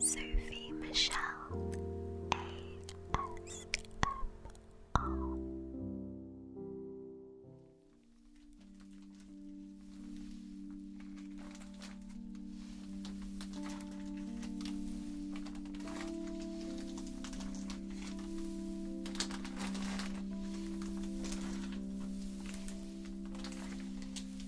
Sophie Michelle ASMR.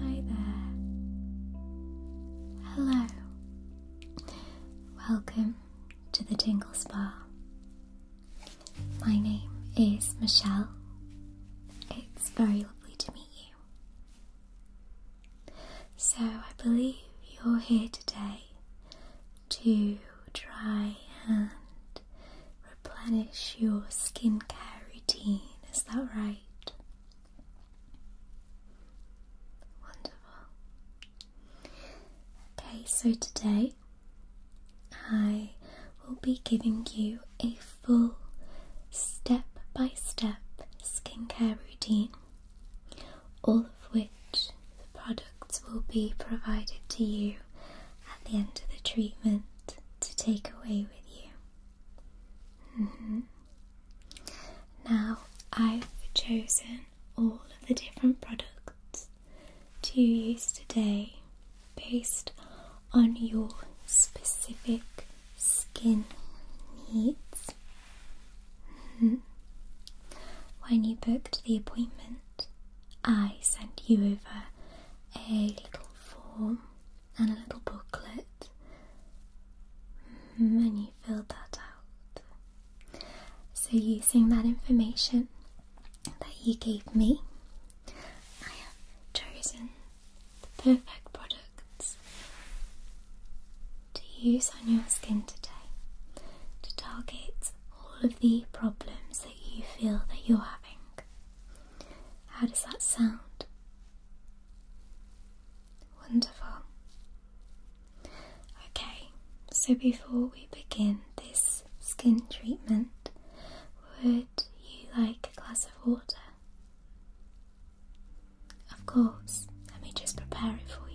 Hi there. Hello. Welcome to the Tingle Spa. My name is Michelle. It's very lovely to meet you. So, I believe you're here today to try and replenish your skincare routine, is that right? Wonderful. Okay, so today I will be giving you a full step by step skincare routine, all of which the products will be provided to you at the end of the treatment to take away with you. Mm-hmm. Now, I've chosen all of the different products to use today based on your specific skin needs. Mm-hmm. when you booked the appointment, I sent you over a little form and a little booklet, When mm-hmm. you filled that out. So, using that information that you gave me, I have chosen the perfect products to use on your skin today to target all of the problems that you feel that you're having. How does that sound? Wonderful. Okay, so before we begin this skin treatment, would you like a glass of water? Of course, let me just prepare it for you.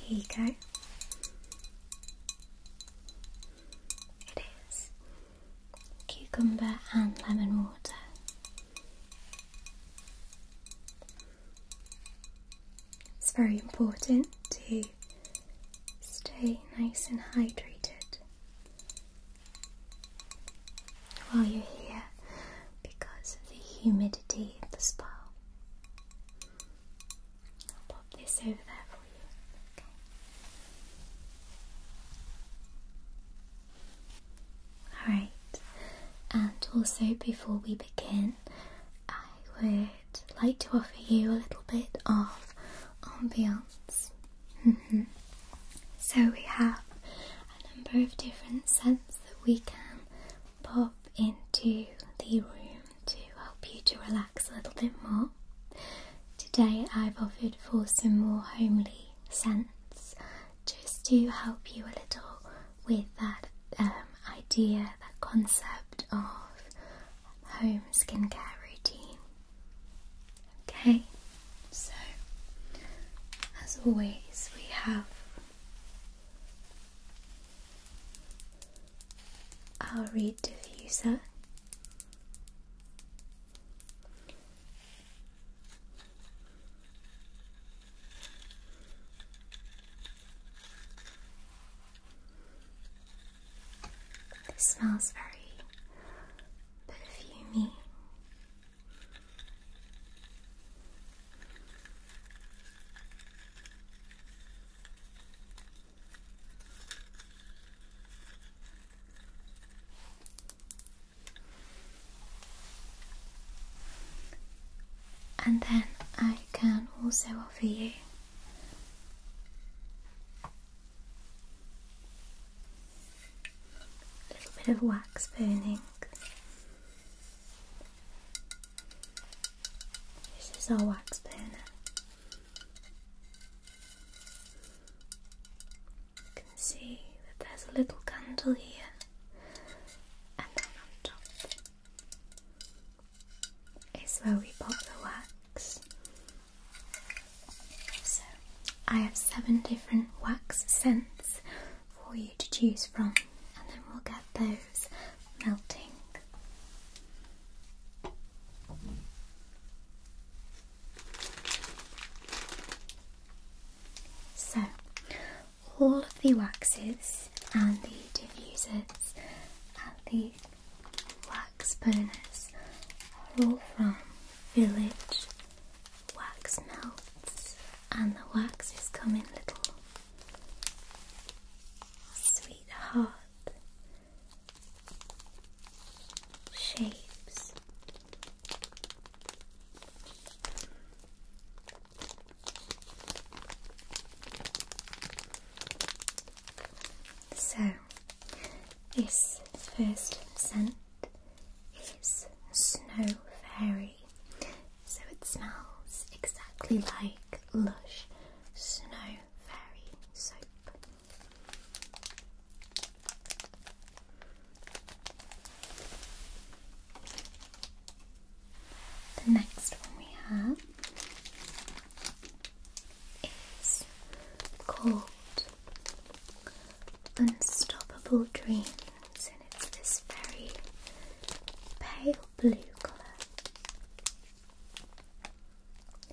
Here you go. It is cucumber and lemon water. It's very important to stay nice and hydrated while you're here because of the humidity of the spa. I'll pop this over there for you. Okay. Alright, and also before we begin, I would like to offer you a little bit of ambiance. so we have a number of different scents that we can pop into the room to help you to relax a little bit more. Today I've offered for some more homely scents just to help you a little with that um, idea, that concept of home skincare routine. Okay, so as always, we have I'll read diffuser. This smells very perfumey. And then I can also offer you a little bit of wax burning this is our wax burner. You can see that there's a little candle here, and then on top is where we pop the wax. So I have seven different wax scents for you to choose from and then we'll get those melting. So, all of the waxes and the diffusers and the wax burners are all from Village wax melts and the wax is coming little sweetheart shapes. So, this first scent is Snow Fairy so it smells exactly like Lush Snow Fairy soap. The next one we have is called Unstoppable Dream and it's this very pale blue colour.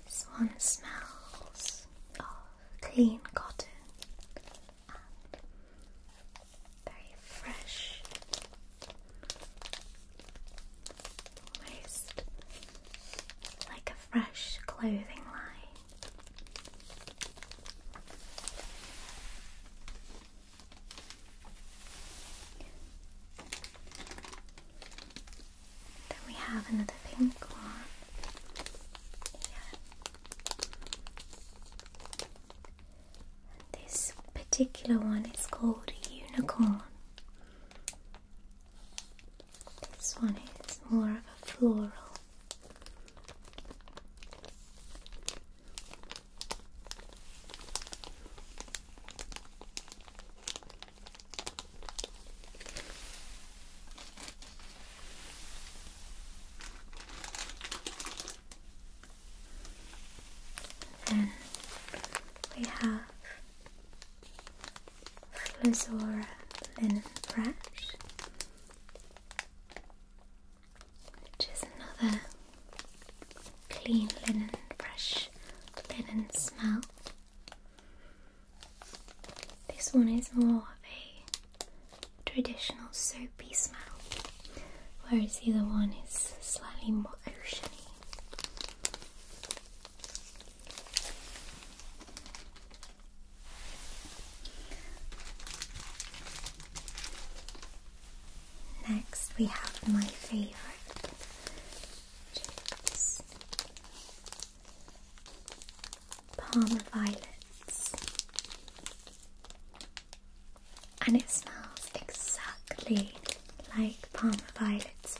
This one smells of clean cotton and very fresh, almost like a fresh clothing line. Then we have another pink one. This particular one is called Unicorn. This one is more of a floral. Then we have Flusora linen brush which is another clean linen, fresh linen smell. This one is more of a traditional soapy smell, whereas the other one is slightly more oceany. Next, we have my favorite chips. Palm violets, and it smells exactly like palm violets'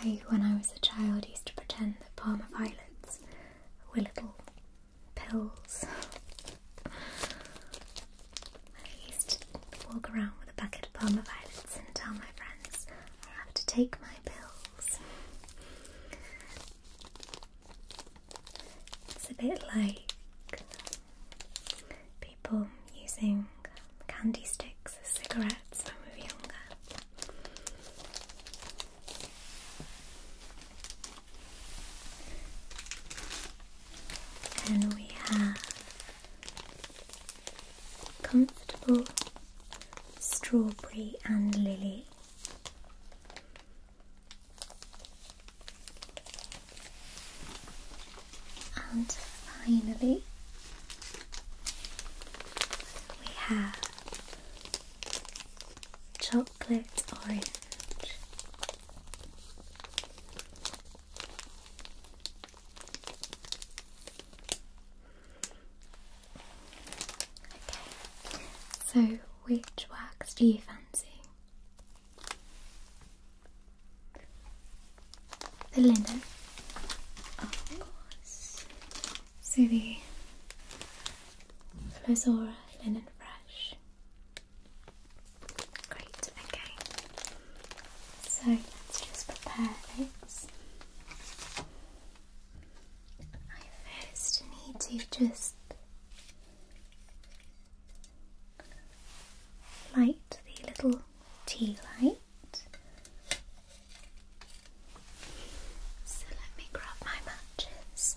I, when I was a child, used to pretend that palm violets were little pills. I used to walk around with a bucket of violets and tell my friends I have to take my pills. It's a bit like people using candy sticks as cigarettes when we were younger. And we have comfortable strawberry and lily. And finally, we have chocolate orange. Okay, so which wax do you fancy? The linen, of course. So the Flozora Linen Fresh. Great, okay. So let's just prepare this. I first need to just light the little tea light. So let me grab my matches.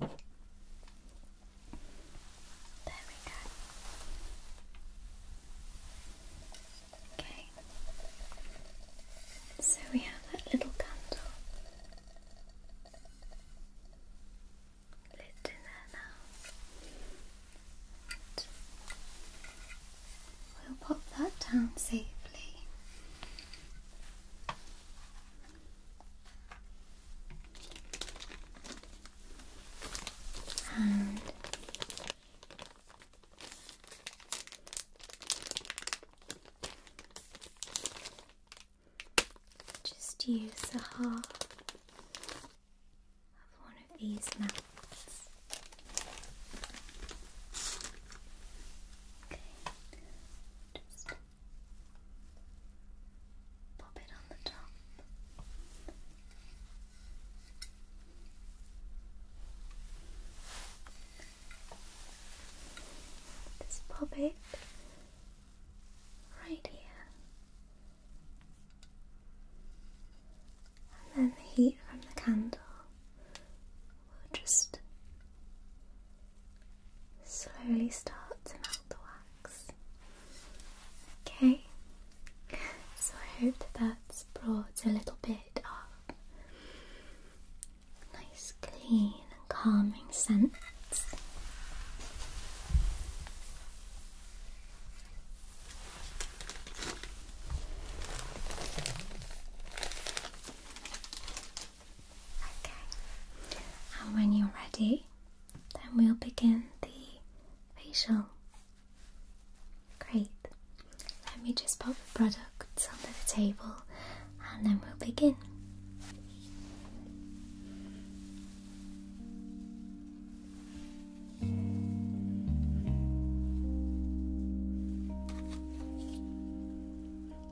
There we go. Okay. So we have that little candle lit in there now. we'll pop that down safely. And just use a half of one of these mats. Okay. Pop it on the top. Just pop it right here. And then the heat from the candle will just Slowly start to melt the wax. Okay, so I hope that's brought a little bit of nice, clean, and calming scent. Okay, and when you're ready, then we'll begin the facial. Great. Let me just pop the products under the table and then we'll begin.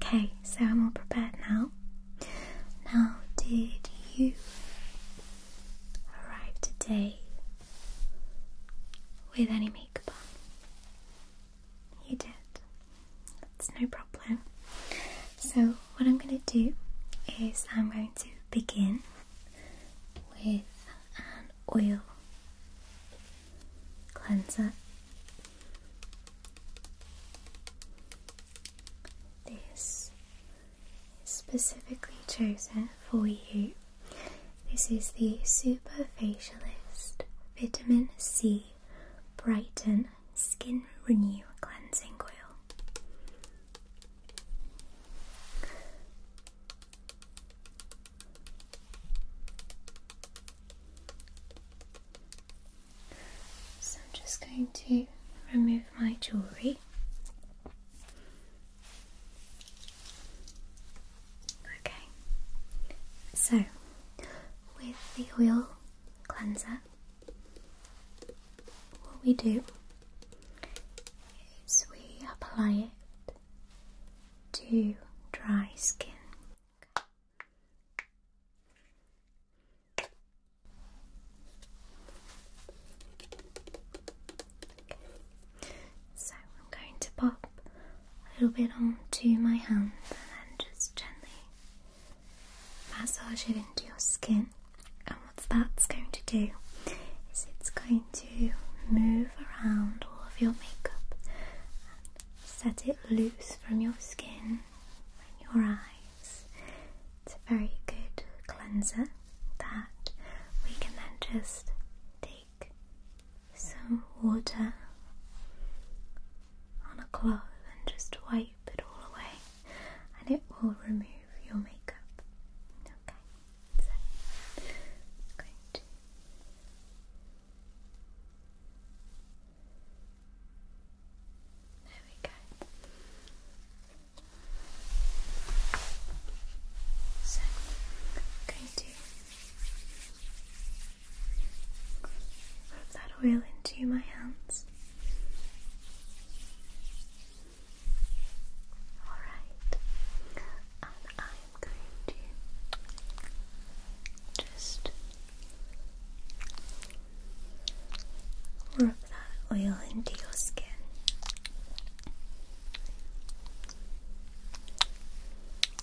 Okay, so I'm all prepared now. Now, did you arrive today with any you did. That's no problem. So, what I'm going to do is I'm going to begin with an oil cleanser. This is specifically chosen for you this is the Super Facialist Vitamin C Brighten Skin Renew Cleansing Oil. So I'm just going to remove my jewellery Okay, so with the oil cleanser, what we do is we apply it to dry skin. So I'm going to pop a little bit onto my hand and then just gently massage it into your skin. And what that's going to do is it's going to move around all of your makeup and set it loose from your skin and your eyes. It's a very good cleanser that we can then just take some water on a cloth and just wipe it all away, and it will remove your makeup. Okay, so I'm going to there we go. So I'm going to Rub that oil into my hands. Alright, and I'm going to just rub that oil into your skin.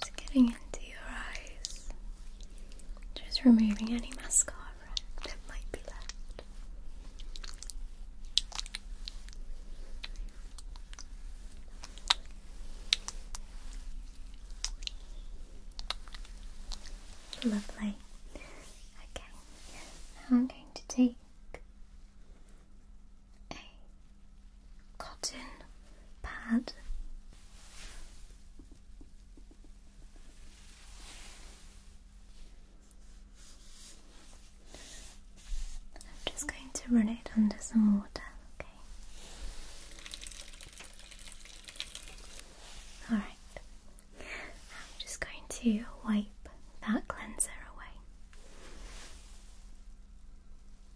Just getting into your eyes. Just removing any mascara that might be left. Lovely. Okay, I'm going to take cotton pad. I'm just going to run it under some water, okay? Alright, I'm just going to wipe that cleanser away.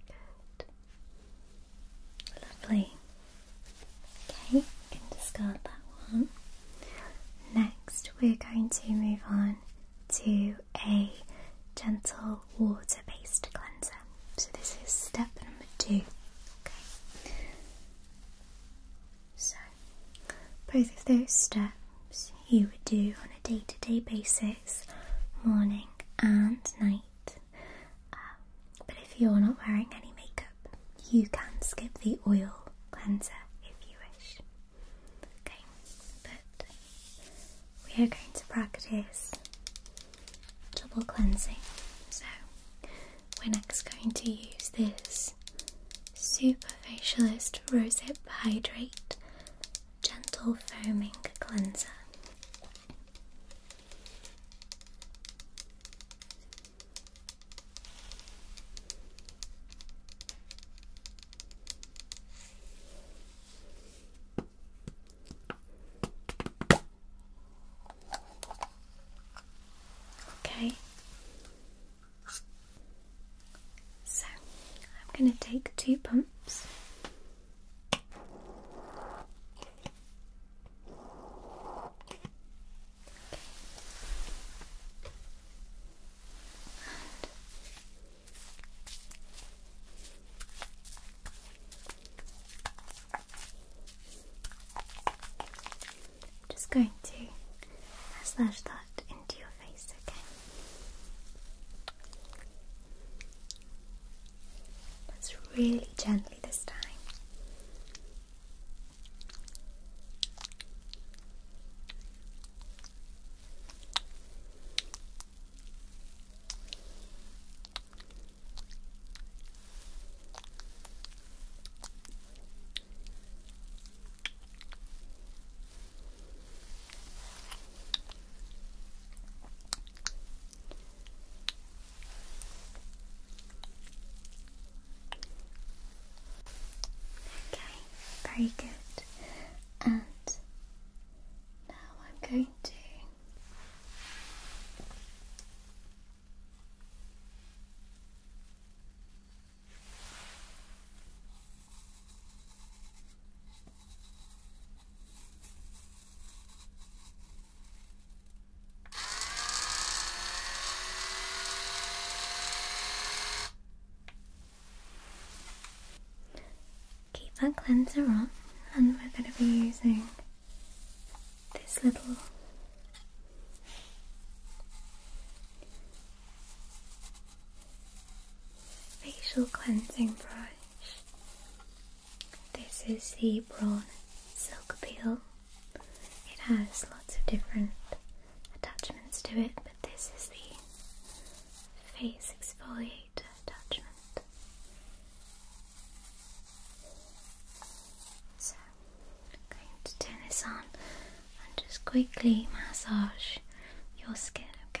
Good. Lovely. Okay, you can discard that one. Next, we're going to move on to a gentle water based cleanser. So, this is step number two. Okay. So, both of those steps you would do on a day to day basis, morning and night. Um, but if you're not wearing any makeup, you can skip the oil cleanser if you wish. Okay, but we are going to practice double cleansing. So, we're next going to use this super Facialist Rosehip Hydrate Gentle Foaming Cleanser. Okay, so I'm going to take two pumps. just going to massage that into your face, okay? That's really gently this time. Okay, very good. And now I'm going to Keep that cleanser on, and we're going to be using this little Facial cleansing brush. This is the Braun Silk Peel. It has lots of different attachments to it, but this is the face exfoliator attachment. So I'm going to turn this on and just quickly massage your skin, okay?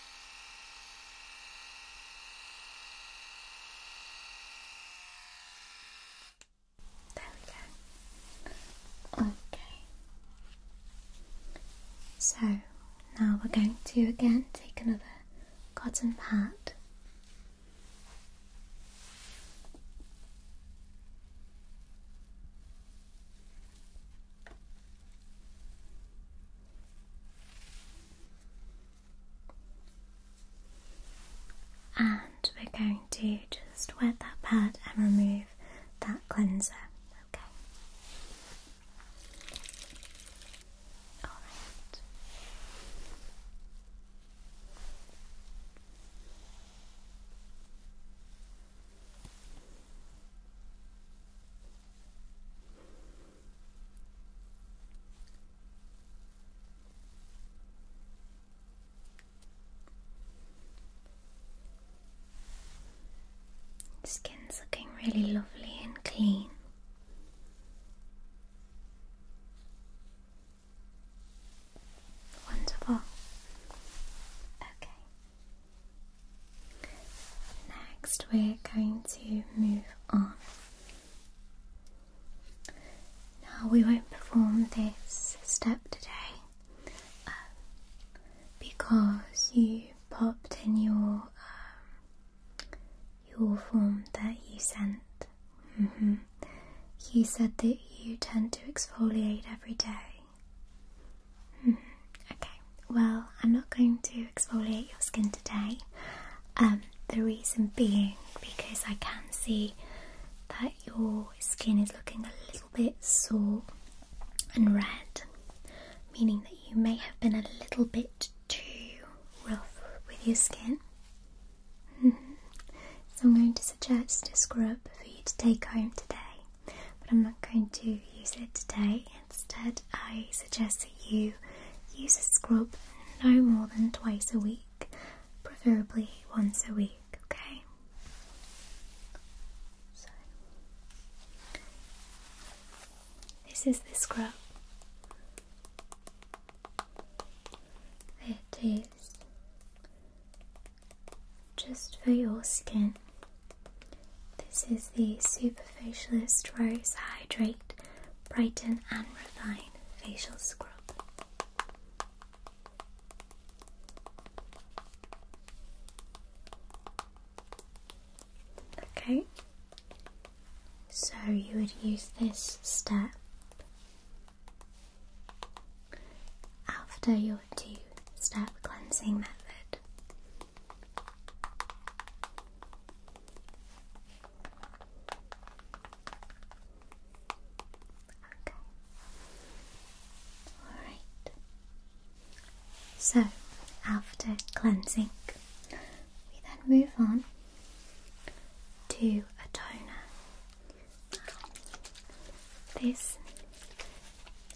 There we go. Okay. So now we're going to again take another cotton pad. And we're going to just wet that pad and remove that cleanser. Okay. All right. Skin's looking really lovely and clean. Wonderful. Okay. Next, we're going to move on. Now, we won't perform this step today um, because you popped in your um, your form that you sent. Mm-hmm. You said that you tend to exfoliate every day. Okay, well, I'm not going to exfoliate your skin today. Um, the reason being because I can see that your skin is looking a little bit sore and red, meaning that you may have been a little bit too rough with your skin. so I'm going to suggest a scrub for you to take home today, but I'm not going to use it today. Instead, I suggest that you use a scrub no more than twice a week, preferably once a week, okay? So, this is the scrub. It is just for your skin this is the Super Facialist Rose Hydrate Brighten and Refine Facial Scrub. Okay, so you would use this step after your two step cleansing method. Okay. Alright. So, after cleansing, we then move on to a toner. This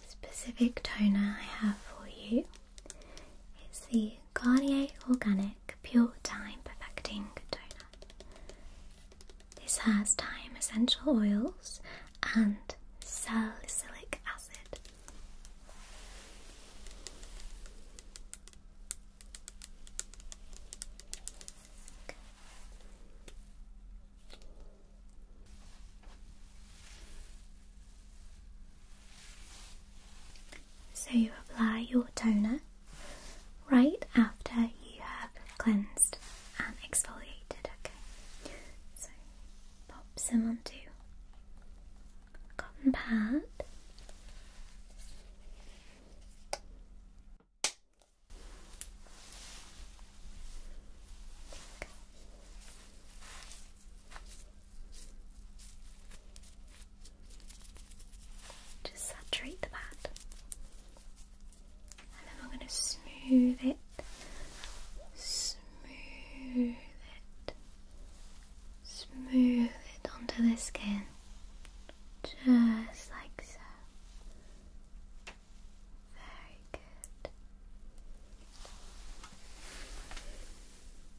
specific toner I have for you it's the Garnier Organic Pure Time Perfecting Toner. This has time essential oils and salicylic acid. So you apply your toner right after you have cleansed and exfoliated, okay? So pop some onto a cotton pad. Just saturate the pad. And then we're going to smooth it. Smooth it. Smooth it onto the skin. Just like so. Very good.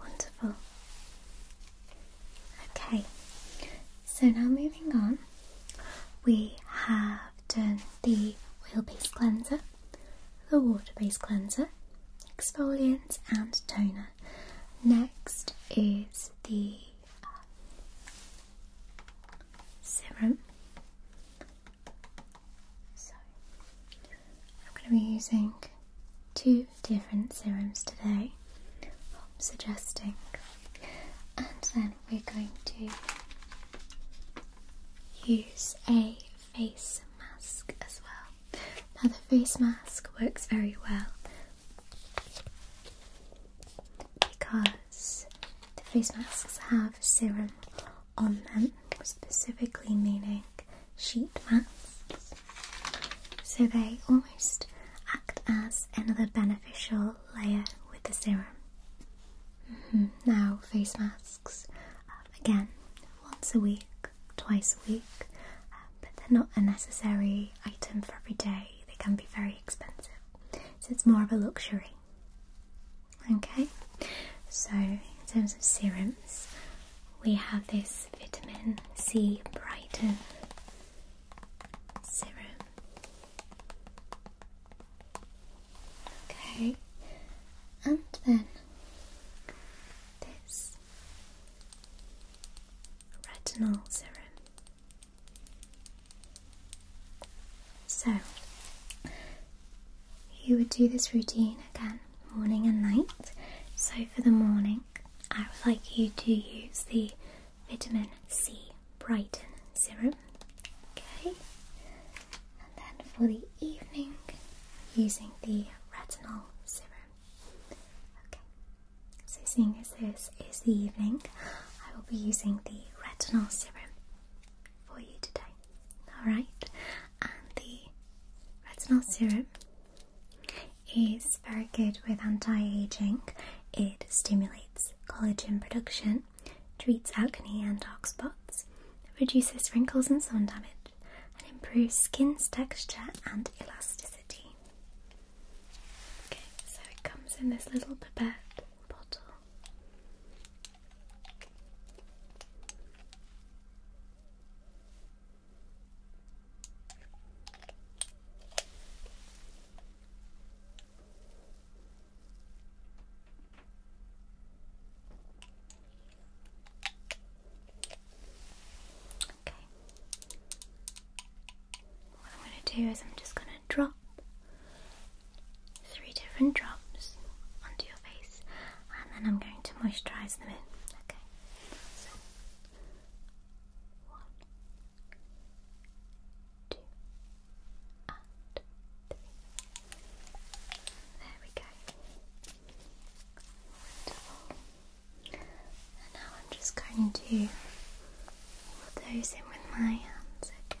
Wonderful. Okay, so now moving on, we have done the oil based cleanser, the water based cleanser, exfoliant, and toner. Next is the serum. So, I'm going to be using two different serums today, I'm suggesting, and then we're going to use a face mask as well. Now, the face mask works very well because the face masks have serum on them, specifically meaning sheet masks. So they almost act as another beneficial layer with the serum. Mm-hmm. Now, face masks, um, again, once a week, twice a week, um, but they're not a necessary item for every day. They can be very expensive, so it's more of a luxury. Okay, so in terms of serums, we have this vitamin C Brighton serum. Okay, and then this retinal serum. So, you would do this routine again morning and night. So, for the morning, I would like you to use the vitamin C Brighten serum. Okay, and then for the evening, using the retinol serum. Okay, so seeing as this is the evening, I will be using the retinol serum for you today. Alright, and the retinol serum is very good with anti-aging. It stimulates collagen production, treats acne and dark spots, reduces wrinkles and sun damage, and improves skin's texture and elasticity. Okay, so it comes in this little pipette bottle. Okay. What I'm going to do is I'm just going to going drop three different drops onto your face and then I'm going to moisturize them in. Okay. one, two, and three. There we go. Wonderful. And now I'm just going to do those in with my hands, okay?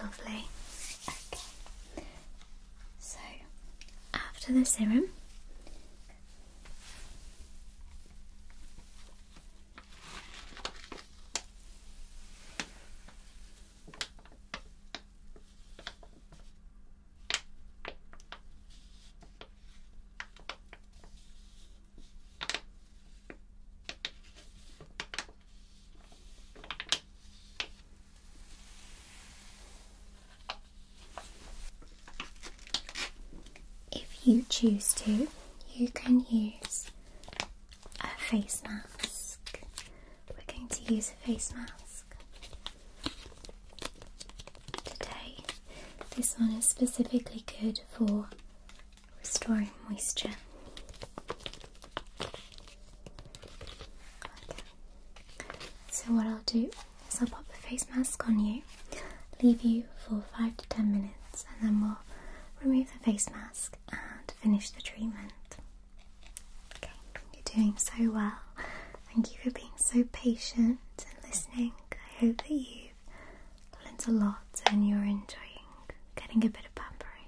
Lovely. Okay. So, after the serum, if you choose to, you can use a face mask. We're going to use a face mask today. This one is specifically good for restoring moisture. So what I'll do is I'll pop the face mask on you, leave you for five to ten minutes, and then we'll remove the face mask and finish the treatment. Okay, you're doing so well. Thank you for being so patient and listening. I hope that you've learned a lot and you're enjoying getting a bit of pampering.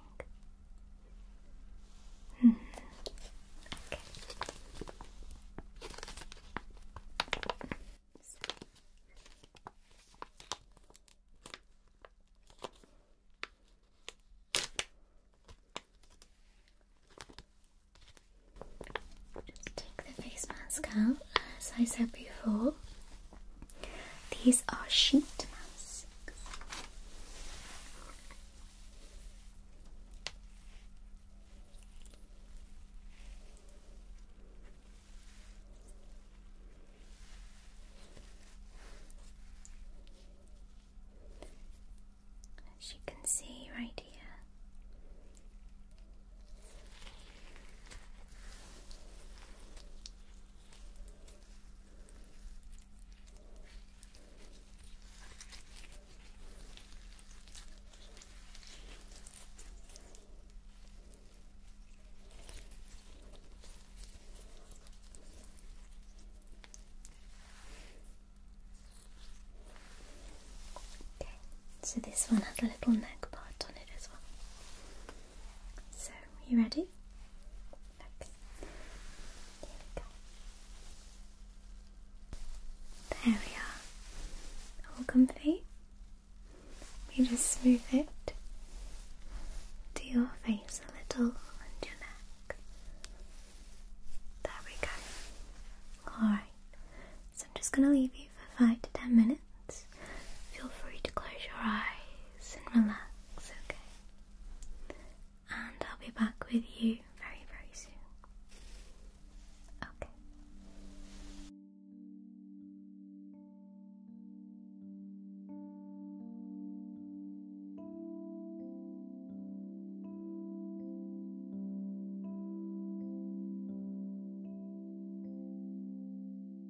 Just take the face mask out as I said before. These are sheet masks. As you can see right here. Okay, so this one has a little neck part on it as well. So, you ready? Okay. Here There we are. All comfy. We just smooth it to your face a little and your neck. There we go. Alright. So I'm just gonna leave you for five to ten minutes. Feel free to close your eyes eyes and relax, okay? And I'll be back with you very, very soon. Okay.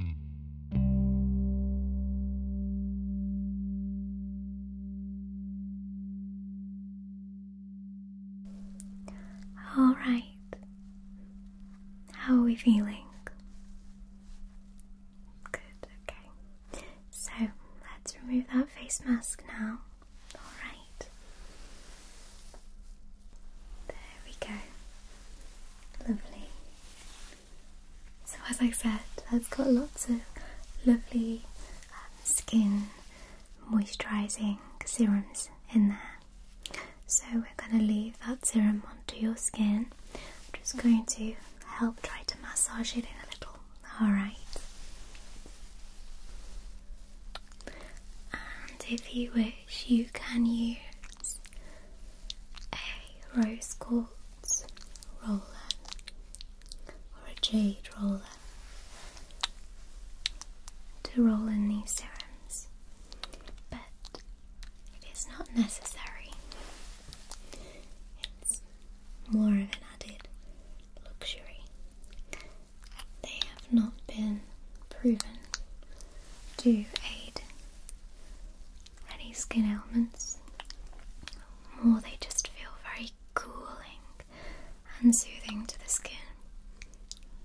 Mm. All right. How are we feeling? Good, okay. So let's remove that face mask now. All right. There we go. Lovely. So, as I said, that's got lots of lovely um, skin moisturising serums in there. So, we're going to leave that serum onto your skin. I'm just going to help try to massage it in a little. Alright. And if you wish, you can use a rose quartz roller or a jade roller to roll in these serums, but it is not necessary. It's more of an added luxury. They have not been proven do aid any skin ailments, or they just feel very cooling and soothing to the skin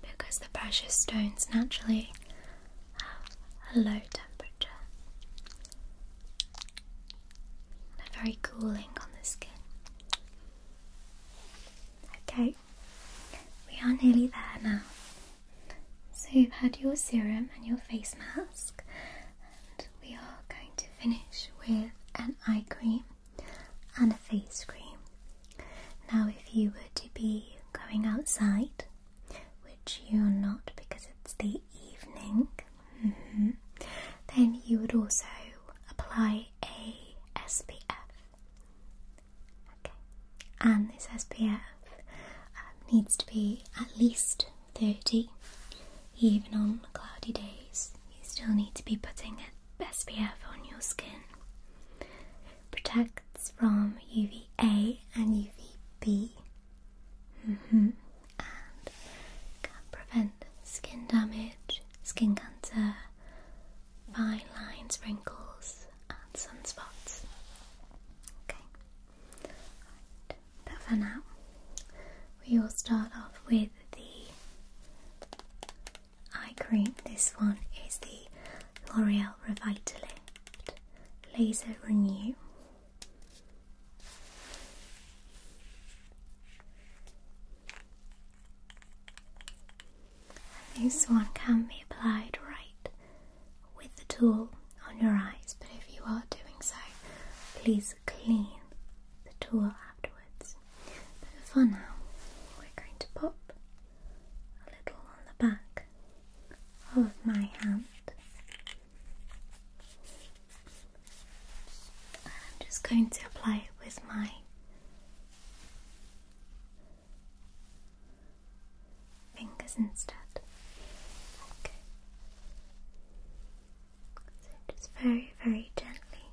because the precious stones naturally have a low temperature. They're very cooling on the skin. Okay, we are nearly there now. So you've had your serum and your face mask, and we are going to finish with an eye cream and a face cream. Now, if you were to be going outside, which you're not because it's the evening, mm-hmm, then you would also apply a SPF Okay, and this SPF um, needs to be at least 30, even on cloudy days. You still need to be putting SPF on your skin. Protects from UVA and UVB. Mm mm-hmm. And can prevent skin damage, skin cancer, fine lines, wrinkles, and sunspots. Okay, right. but for now, we will start off with the eye cream. This one is the L'Oreal Revitalift Laser Renew. This one can be applied right with the tool on your eyes, but if you are doing so, please clean the tool afterwards. But for now, we're going to pop a little on the back of my hand. I'm just going to apply it with my fingers instead. Okay. So just very, very gently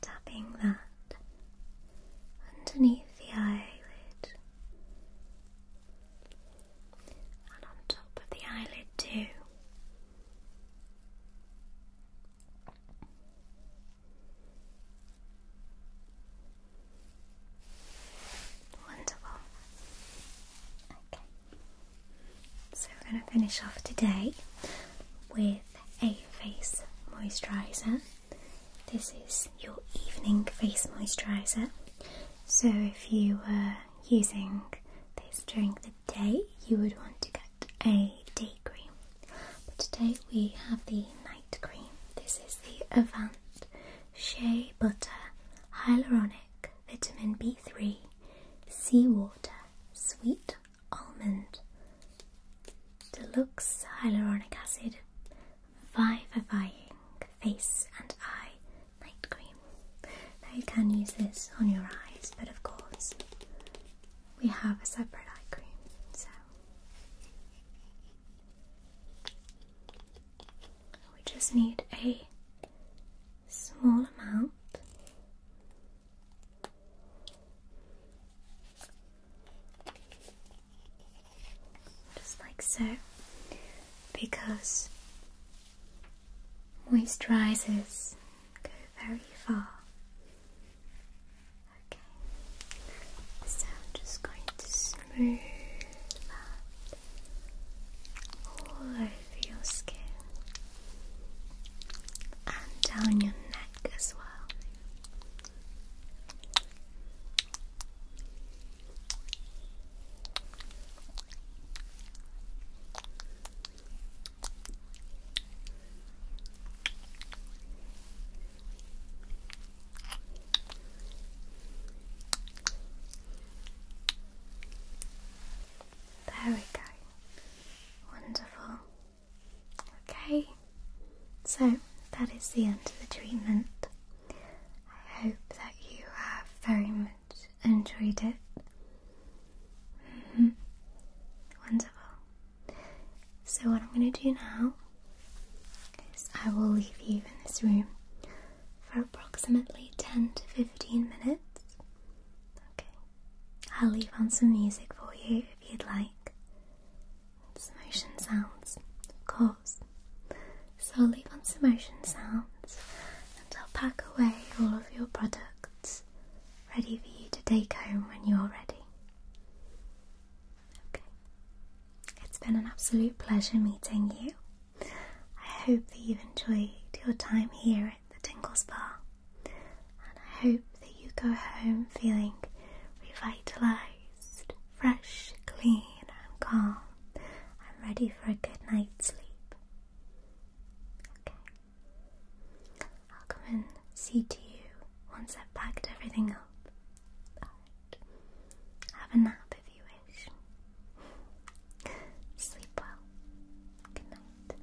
tapping that underneath the eyelid and on top of the eyelid too. Wonderful. Okay. So we're going to finish off today with a face moisturizer. This is your evening face moisturizer. So if you were using this during the day, you would want to get a day cream. But today we have the night night cream. This is the Avant Shea Butter Hyaluronic Vitamin B3 Seawater Sweet Almond Deluxe Hyaluronic Acid Vivifying Face and Eye Night Cream. Now you can use this on your eyes, but of course we have a separate eye cream, so we just need a small amount. Just like so, because moist rises go very far Okay, so I'm just going to smooth that all over your skin and down your neck as well. There we go. Wonderful. Okay, so that is the end of the treatment. I hope that you have very much enjoyed it. Mm-hmm. Wonderful. So, what I'm going to do now I will leave you in this room for approximately 10 to 15 minutes. Okay, I'll leave on some music for you if you'd like. some motion sounds, of course. So I'll leave on some motion sounds and I'll pack away all of your products ready for you to take home when you're ready. Okay. It's been an absolute pleasure meeting you. I hope that you've enjoyed your time here at the Tingle Spa, and I hope that you go home feeling revitalised, fresh, clean, and calm, and ready for a good night's sleep. Okay. I'll come and see to you once I've packed everything up. Bye. Have a nap if you wish. Sleep well. Good night.